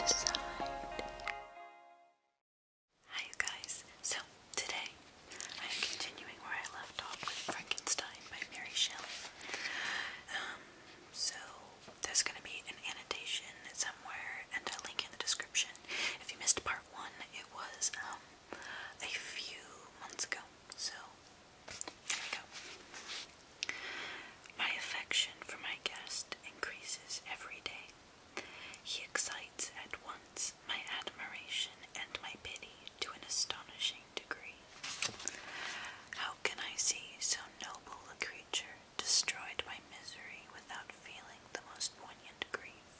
It's Hi you guys. So today I'm continuing where I left off with Frankenstein by Mary Shelley. Um, so there's gonna be an annotation somewhere and a link in the description. If you missed part one, it was um, a few months ago. So my affection for my guest increases every day. He excites at once my admiration and my pity to an astonishing degree. How can I see so noble a creature destroyed by misery without feeling the most poignant grief?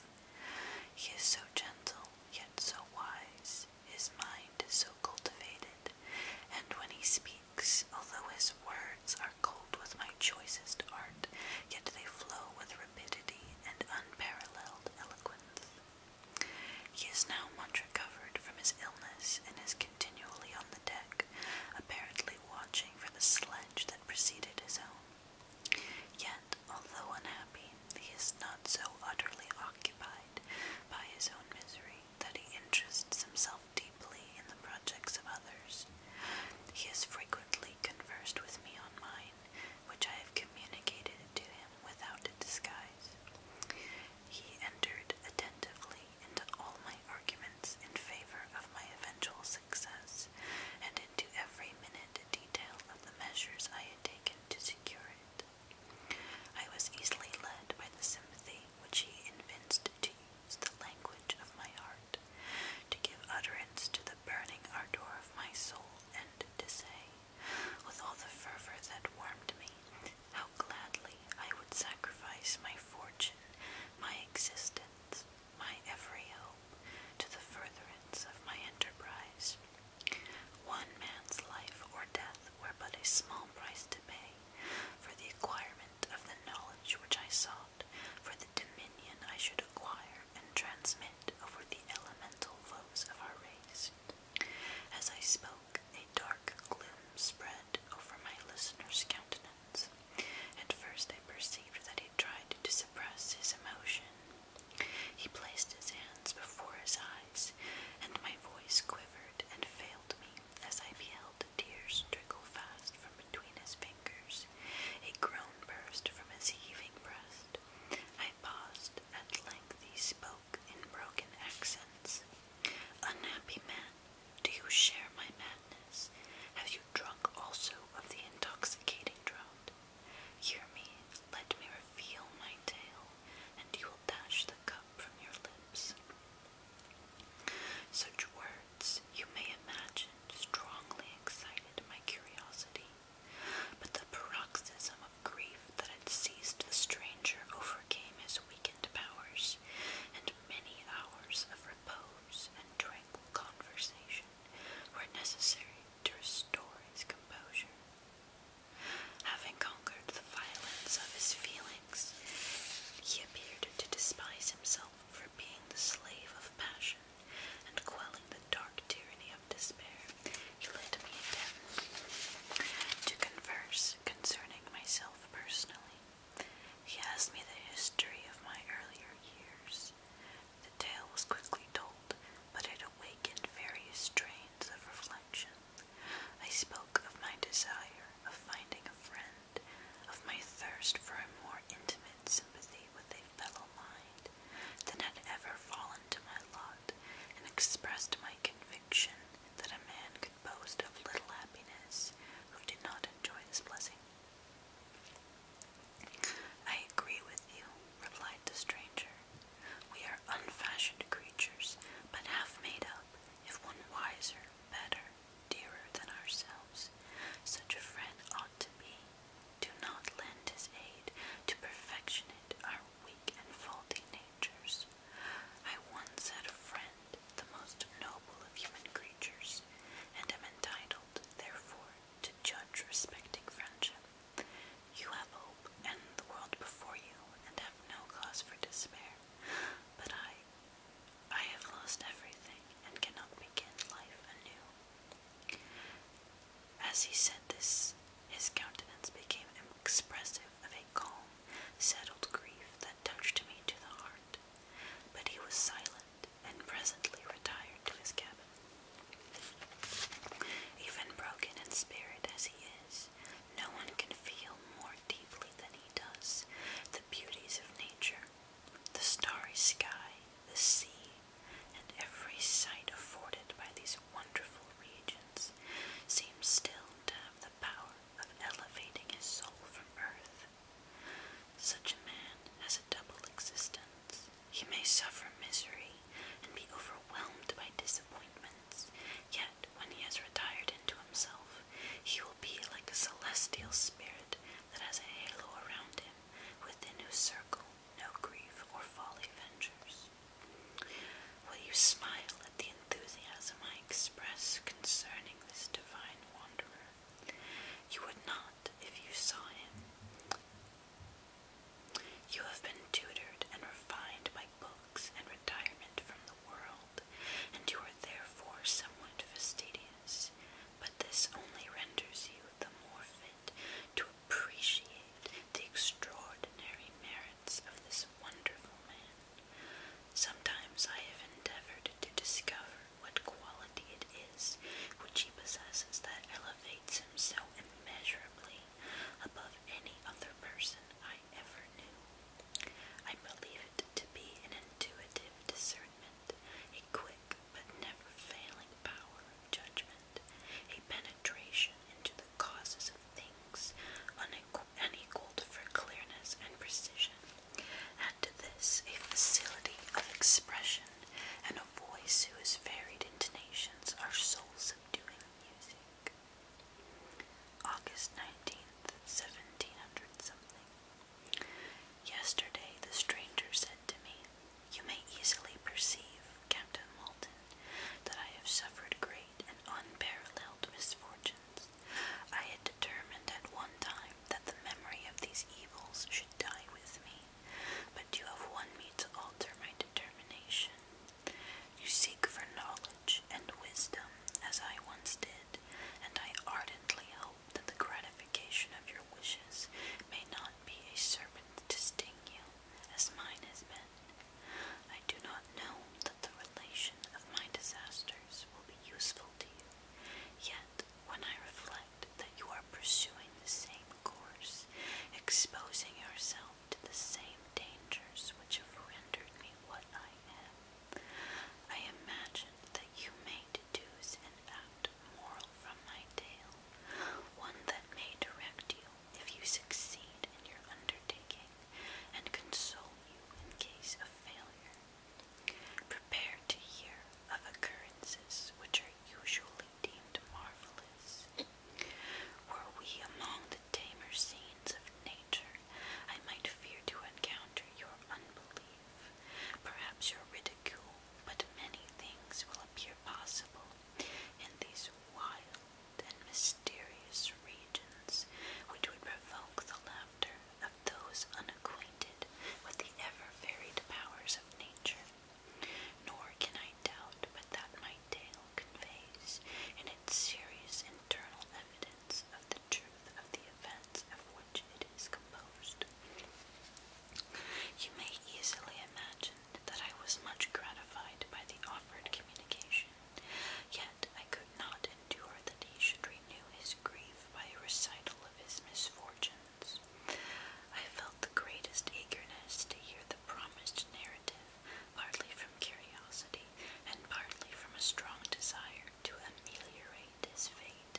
He is so gentle, yet so wise. His mind is so cultivated, and when he speaks, although his words are cold with my choicest art, yet they flow with rapidity and unparalleled eloquence. He is now much recovered from his illness and is continually on the deck, apparently watching for the sledge that preceded his own. Yet, although unhappy, he is not so utterly occupied by his own misery that he interests himself deeply in the projects of others. He has frequently conversed with me on mine, which I have communicated to him without a disguise. He entered attentively into all my arguments in favor of my eventual success, and into every minute detail of the measures I had taken to secure it. I was easily led by the sympathy which he evinced to use the language of my heart, to give utterance to the burning ardour of my soul, and to say, with all the fervour that warmed me, how gladly I would sacrifice my fortune, my existence, my every hope, to the furtherance of my enterprise. One man's life or death were but a small price to pay for the acquirement of the knowledge which I sought, for the dominion I should acquire and transmit over the elemental foes of our race. As I spoke, a dark gloom spread over my listener's countenance. At first, I perceived that he tried to suppress his emotion. He placed his hands before his eyes and my voice quivered and failed me as I beheld the tears trickle fast from between his fingers. A groan burst from his heaving breast. I paused. At length he spoke in broken accents. Unhappy man, do you share my madness? Have you drunk also of the intoxicating draught? Hear me, let me reveal my tale, and you will dash the cup from your lips. Such words, you may imagine, strongly excited my curiosity, but the paroxysm of grief that had seized the stranger overcame his weakened powers, and many hours of repose and tranquil conversation were necessary to restore his composure. Having conquered the violence of his feelings, he appeared to despise himself for being the slave of passion and quelling the dark tyranny of despair. He led me again to converse concerning myself personally. He asked me the history of my earlier years. The tale was quickly told, but it awakened various strains of reflection. I spoke of my desire of finding a friend, of my thirst for a more intimate sympathy with a fellow mind than had ever fallen to my lot, and expressed my conviction that a man could boast of little happiness who did not enjoy this blessing. I agree with you, replied the stranger. We are unfashioned creatures, but half made up, if one wiser, better, dearer than ourselves. Such a friend ought to be. Do not lend his aid to perfectionate our weak and faulty natures. I once had a friend, the most noble of human creatures, and am entitled, therefore, to judge respecting friendship. You have hope and the world before you, and have no cause for despair. But I, I have lost everything and cannot begin life anew. As he said this, his countenance became expressive of a calm, settled grief that touched me to the heart. But he was silent and presently retired to his cabin. Even broken in spirit as he is, no one can feel more deeply than he does the beauties of nature, the starry sky, the sea, and every sight afforded by these wonderful regions seems still to have the power of elevating his soul from earth. Such a man has a double existence. He may suffer misery and be overwhelmed by disappointments, yet when he has retired into himself, he will be like a celestial spirit that has a halo around him, within whose circle no grief or folly ventures. Will you smile at the enthusiasm I express concerning this divine wanderer? You would not if you saw him. You have been tutored and refined by books and retirement from the world, and you are therefore somewhat fastidious, but this only renders you the more fit to appreciate the extraordinary merits of this wonderful man. Sometimes I have endeavored to discover what quality it is which he possesses that elevates him so immeasurably above any other person I ever knew. I believe it to be an intuitive discernment, a quick but never failing power of judgment, a penetration into the causes of things unequaled for clearness and precision. And to this a facility of expression and a voice whose varied intonations are soul subduing music. August 19th, 1700 something. Yesterday the stranger said to me, You may easily perceive, Captain Walton, that I have suffered great and unparalleled misfortunes. I had determined at one time that the memory of these evils should die with me, but you have won me to alter my determination. You seek for knowledge and wisdom, as I once did, and I ardently hope that the gratification of your wishes may not be a serpent to sting you, as mine has been. I do not know that the relation of my disasters will be useful to you, yet when I reflect that you are pursuing the same course, exposing yourself to the same dangers which have rendered me what I am. I imagine that you may deduce an apt moral from my tale, one that may direct you if you succeed in your undertaking, and console you in case of failure. Prepare to hear of occurrences which are usually deemed marvelous. Were we among the tamer scenes of nature, I might fear to encounter your unbelief, perhaps your ridicule, but many things will appear possible in these wild and mysterious regions which would provoke the laughter of those unacquainted with the ever varied powers of nature. Nor can I doubt but that my tale conveys in its internal evidence of the truth of the events of which it is composed. You may easily imagine that I was much gratified by the offered communication, yet I could not endure that he should renew his grief by a recital of his misfortunes. I felt the greatest eagerness to hear the promised narrative, partly from curiosity and partly from a strong desire to ameliorate his fate,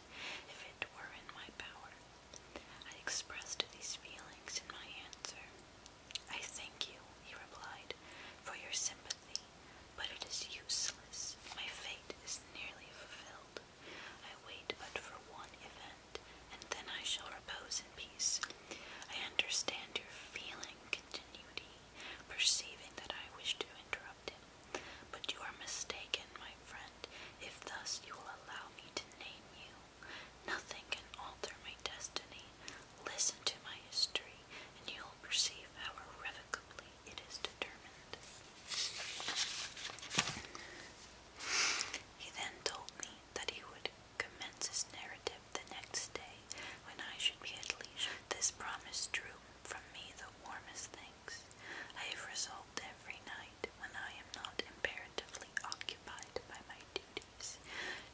if it were in my power. I expressed these feelings in my answer. I thank you, he replied, for your sympathy, but it is useless. My fate is nearly fulfilled. I wait but for one event and then I shall repose in peace. I understand your feeling, continued he, perceiving that I wished to interrupt him. But you are mistaken, my friend, if thus you will allow me to name you. Nothing can alter my destiny. Listen to my history, and you will perceive how irrevocably it is determined. He then told me that he would commence narrative the next day when I should be at leisure. This promise drew from me the warmest thanks. I have resolved every night, when I am not imperatively occupied by my duties,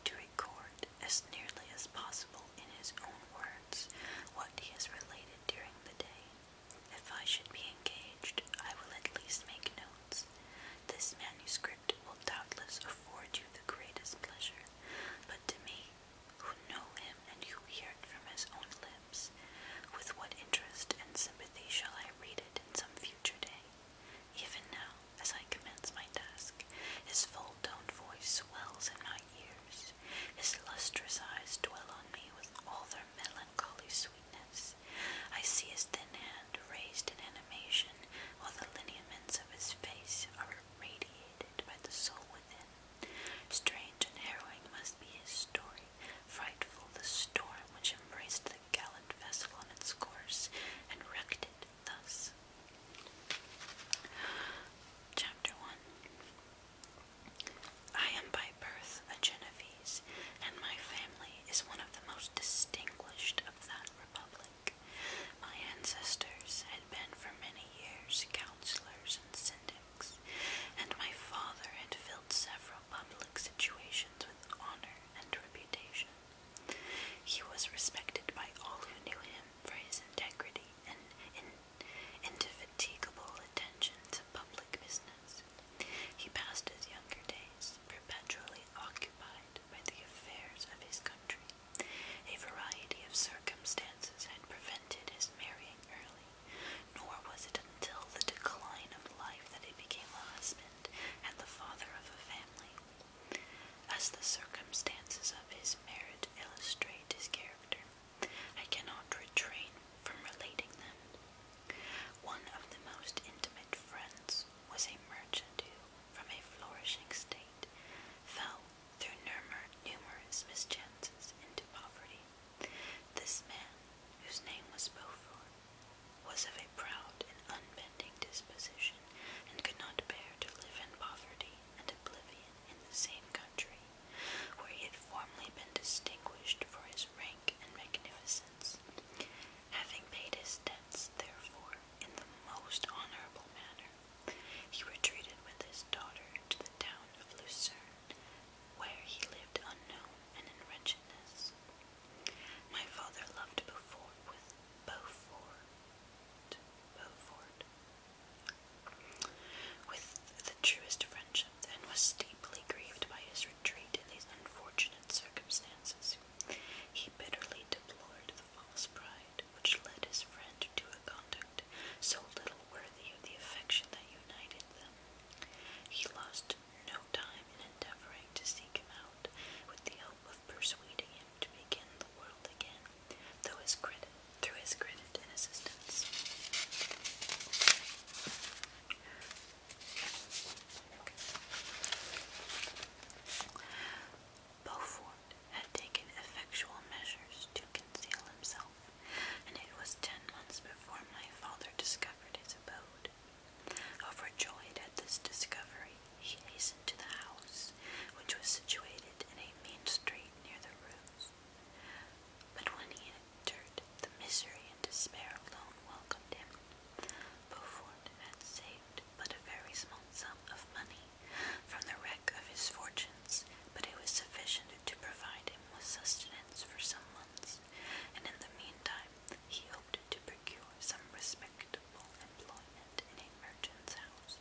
to record as nearly as possible in his own words what he has related during the day. If I should be engaged, I will at least make notes. This manuscript will doubtless afford you the greatest pleasure, but to me, who know him and who hear it from his own lips, with what interest and sympathy shall I read it in some future day? Even now, as I commence my task, his full toned voice swells in my ears, his lustrous eyes dwell on me with all their melancholy sweetness. I see his thin hand raised in animation, while the lineaments of his face are irradiated by the soul within. Strange and harrowing must be his story, frightful the storm which embraced the gallant vessel on its course and wrecked it thus. Chapter 1 I am by birth a Genevieve and my family is one of the most distinguished of that republic. My ancestors had been for many years counselors and syndics, and my father had filled several public situations with honor and reputation. He was respected by all who knew him for his integrity and indefatigable attention to public business. He passed his younger days perpetually occupied by the affairs of his country. A variety of circumstances had prevented his marrying early, nor was it until the decline of life that he became a husband and the father of a family. As the circumstances of his marriage illustrate his character, I cannot refrain from relating them. One of the most intimate friends was a merchant who, from a flourishing state, fell through numerous mischances into poverty. This man, whose name was Beaufort, was of a proud and unbending disposition and could not bear to live in poverty and oblivion in the same country, where he had formerly been distinguished for his rank and magnificence. Having paid his debts, therefore, in the most honorable manner, he retreated with his daughter to the town of Lucerne, where he lived unknown and in wretchedness. My father loved Beaufort with Beaufort, Beaufort, with the truest friendship, and was deeply grieved by his retreat in these unfortunate circumstances. He bitterly deplored the false pride which led his friend to a conduct so little worthy of the affection that united them. He lost no time in endeavoring to seek him out with the hope of persuading him to begin the world again, though his credit through his credit and assistance. Beaufort had taken effectual measures to conceal himself, and it was ten months before my father discovered his abode. Overjoyed at this discovery, he hastened to the house, which was situated in a main street near the ruins. But when he entered, the misery and despair alone welcomed him. Beaufort had saved but a very small sum of money from the wreck of his fortunes, but it was sufficient to provide him with sustenance for some months, and in the meantime he hoped to procure some respectable employment in a merchant's house.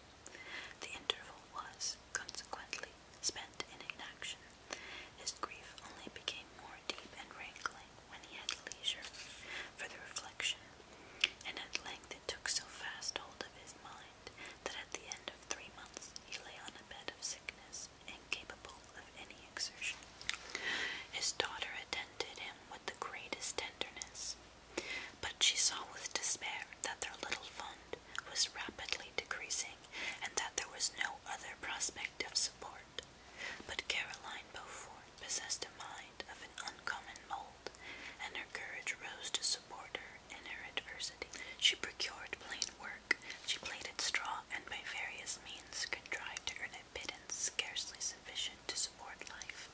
The interval was, consequently, spent in inaction his grief only became more deep and rankling when he had leisure for the reflection, and at length it took so fast hold of his mind that at the end of three months he lay on a bed of sickness, incapable of any exertion. His daughter attended him with the greatest tenderness, but she saw with despair that their little fund was rapidly decreasing and that there was no other prospect of support but Caroline Beaufort possessed a mind of an uncommon mold, and her courage rose to support her in her adversity. She procured plain work, she plaited straw, and by various means contrived to earn a pittance scarcely sufficient to support life.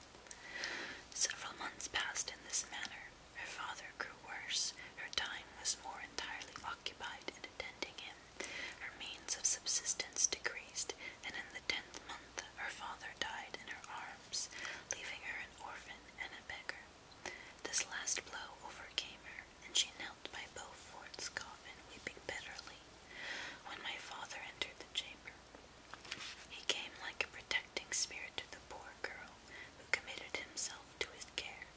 Several months passed in this manner. Her father grew worse, her time was more entirely occupied in attending him her means of subsistence decreased, and in the tenth month her father died in her arms, leaving her an orphan and a beggar. This last blow overcame her, and she knelt by Beaufort's coffin, weeping bitterly. When my father entered the chamber, he came like a protecting spirit to the poor girl who committed himself to his care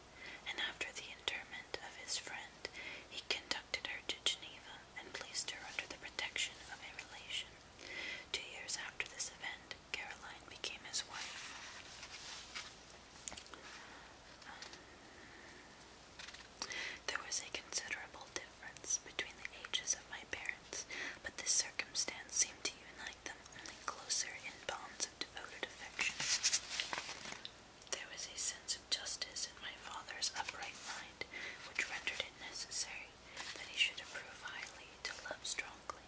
and after the interment of his friend, he conducted her to Geneva and placed her under the protection of a relation. Two years after this event, Caroline became his wife. Um, there was a considerable difference between the ages of my parents, but this circumstance seemed to unite them only closer in bonds of devoted affection. There was a sense of justice in my father's upright mind which rendered it necessary that he should approve highly to love strongly.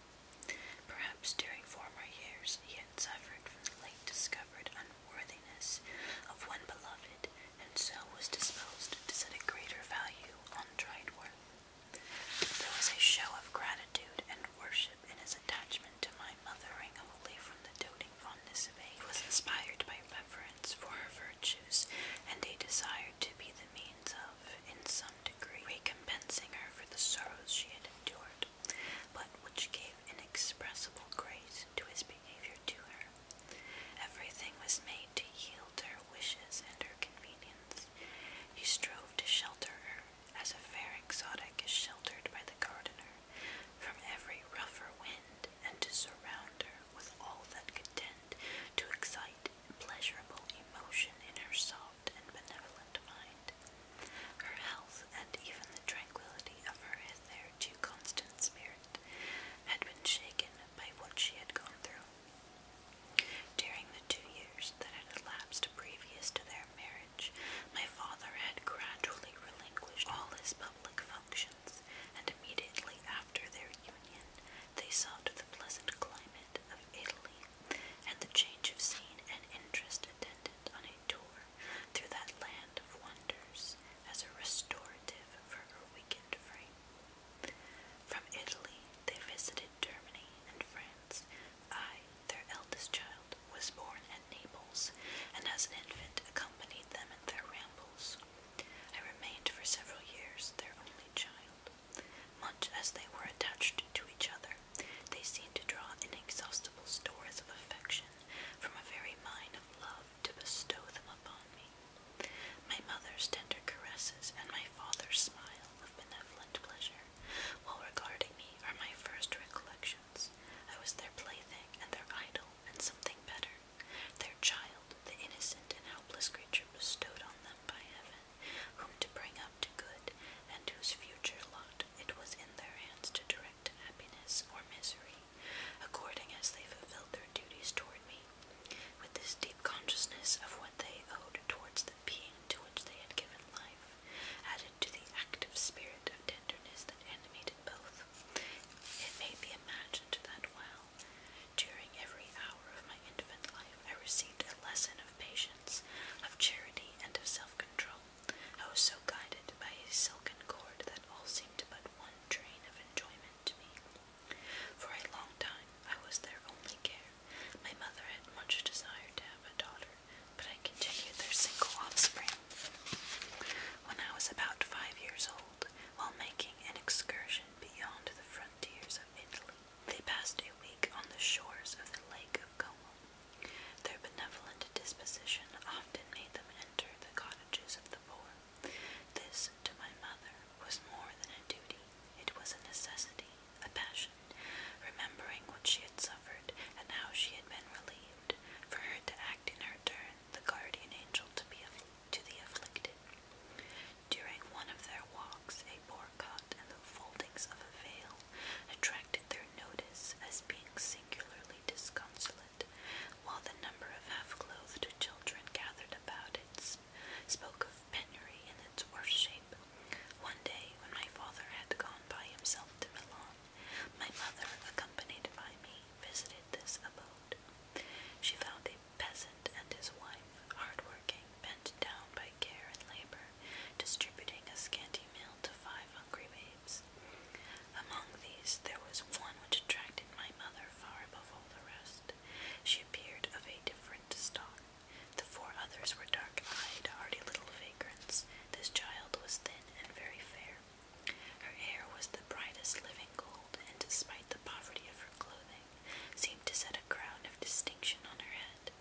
Perhaps during former years he had suffered from the late discovered unworthiness of one beloved, and so was disposed to set a greater value on tried worth. There was a show of gratitude and worship his attachment to my mother wholly from the doting fondness of age, was inspired by reverence for her virtues and a desire to be the means of, in some degree, recompensing her for the sorrows she had endured, but which gave inexpressible grace to his behavior to her. Everything was made to yield to her wishes and her convenience. He strove to shelter her, as a fair exotic is sheltered by the gardener, from every rougher wind, and to surround her with all that could tend to excite pleasurable emotion in her soft and benevolent mind. Her health, and even the tranquillity of her too constant spirit, had been shaken by what she had gone through. During the two years that had elapsed previous to their marriage, my father had gradually relinquished all his public functions, and immediately after their union, they sought the pleasant climate of Italy, and the change of scene and interest attendant on a tour through that land of wonders as a restorative for her weakened frame. From Italy, they visited Germany and France, I their eldest child was born at Naples, and as an infant accompanied them in their rambles. I remained for several years their only child. Much as they were attached to each other, they seemed to draw inexhaustible stores of affection from a very mine of love to bestow them upon me. My mother's tender caresses and my father's smile of benevolent pleasure while regarding me are my first recollections. I was their plaything and their idol and something better. Their child, the innocent and helpless creature bestowed on them by heaven, whom to bring up to good, and whose future lot it was in their hands to direct to happiness or misery, according as they fulfilled their duties toward me. With this deep consciousness of what they owed towards the being to which they had given life, added to the active spirit of tenderness that animated both. It may be imagined that while, during every hour of my infant life, I received a lesson of patience, of charity, and of self-control, I was so guided by a silken cord that all seemed but one train of enjoyment to me. For a long time, I was their only care. My mother had much desired to have a daughter, but I continued their single offspring. When I was about five years old, while making an excursion beyond the frontiers of Italy, they passed a week on the shores of the Lake of Como. Their benevolent disposition often made them enter the cottages of the poor. This, to my mother, was more than a duty, it was a necessity, a passion remembering what she had suffered and how she had been relieved, for her to act in her turn, the guardian angel to be to the afflicted. During one of their walks, a boar caught the foldings of a veil attracted their notice as being singularly disconsolate, while the number of half-clothed children gathered about it spoke of penury in its worst shape. One day, when my father had gone by himself to Milan, my mother, accompanied by me, visited this abode. She found a peasant and his wife, hard-working, bent down by care and labor, distributing a scanty meal to five hungry babes. Among these, there was one which attracted my mother far above all the rest. She appeared of a different stock. The four others were dark-eyed, hardy little this child was thin and very fair. Her hair was the brightest living gold, and despite the poverty of her clothing, seemed to set a crown of distinction on her head.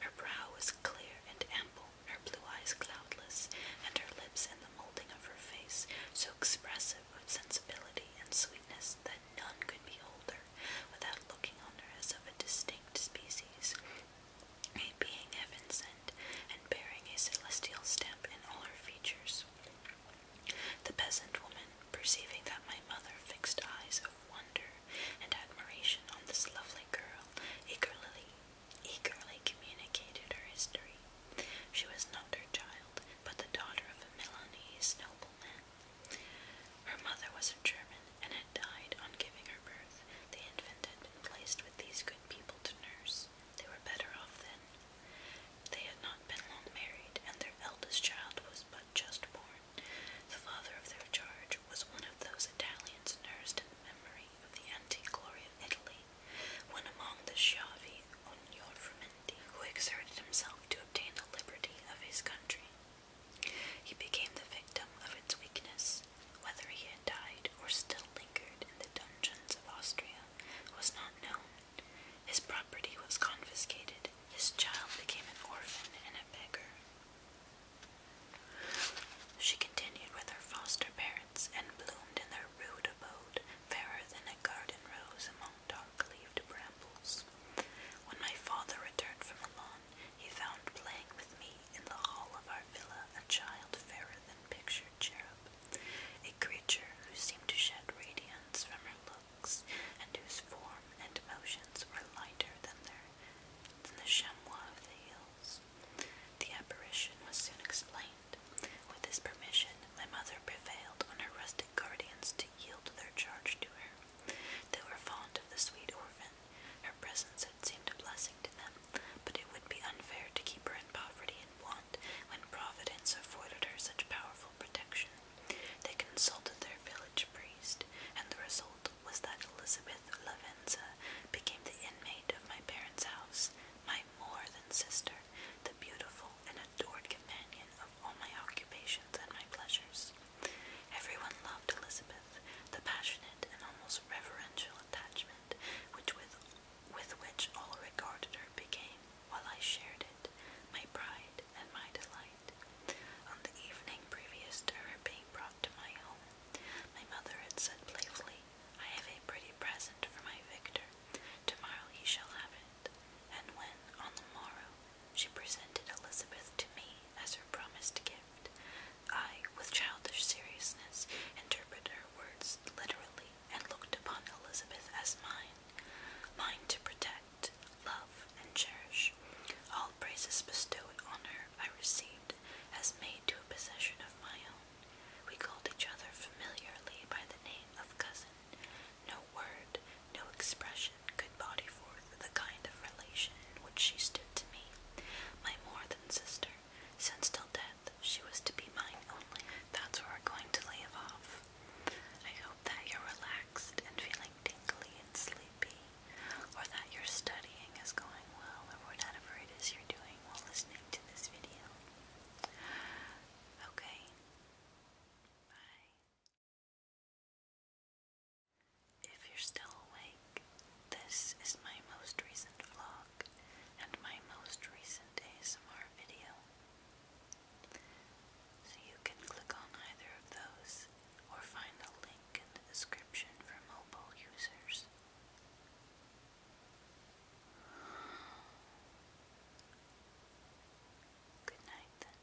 Her brow was clear and ample, her blue eyes cloudless, and her lips and the molding of her face so expressive of sensibility and sweetness that none could behold her without looking on her as of a distinct species, a being heaven sent, and bearing a celestial stamp in all her features. The peasant woman, perceiving that my mother fixed eyes of wonder and admiration on this lovely girl, eagerly, eagerly communicated her history. She was not her child, but the daughter of a Milanese nobleman. Her mother was a German, and had died on giving her birth, the infant had been placed with these good people to nurse. They were better off then. They had not been long married, and their eldest child was but just born. The father of their charge was one of those Italians nursed in memory of the antique glory of Italy, when among the Schiavi on Frumenti, who exerted himself to obtain the liberty of his country. He became the victim of its weakness. Whether he had died or still lingered in the dungeons of Austria was not known. His property was confiscated. His child became an orphan and a beggar. She continued with her foster parents and bloomed in their rude abode, fairer than a garden rose among dark leaved brambles. When my father returned from Milan, he found playing with me in the hall of our villa a child fairer than pictured cherub, a creature who seemed to shed radiance from her looks, and whose form and motions were lighter than, their, the chamois of the hills. The apparition was soon explained. With his permission, my mother prevailed on her rustic guardians to yield their charge to her. They were fond of the sweet orphan. Her presence it seemed a blessing to them, but it would be unfair to keep her in poverty and want when Providence afforded her such powerful protection. They consulted their village priest, and the result was that Elizabeth Lavenza became the inmate of my parents' house, my more than sister, the beautiful and adored companion of all my occupations and my pleasures. Everyone loved Elizabeth, the passionate and almost reverential attachment which with, with which all regarded her became, while I shared it, my pride and my delight. On the evening previous to her being brought to my home, my mother had said playfully, I have a pretty present for my Victor. Tomorrow he shall have it. And when, on the morrow, she presented Elizabeth to me as her promised gift. I, with childish seriousness, interpreted her words literally and looked upon Elizabeth as mine, mine to protect, love, and cherish. All praises bestowed on her I received as made to a possession of my own. We called each other familiarly by the name of cousin. No word, no expression could body forth the kind of relation in which she stood to me, my more than sister, since till death she was to be mine only. That's where we're going to leave off. I hope that you're relaxed and feeling tingly and sleepy, or that your studying is going well, or whatever it is you're doing while listening to this video. Okay. Bye. If you're still awake, this is my most recent vlog and my most recent ASMR video. So you can click on either of those or find the link in the description for mobile users. Good night then.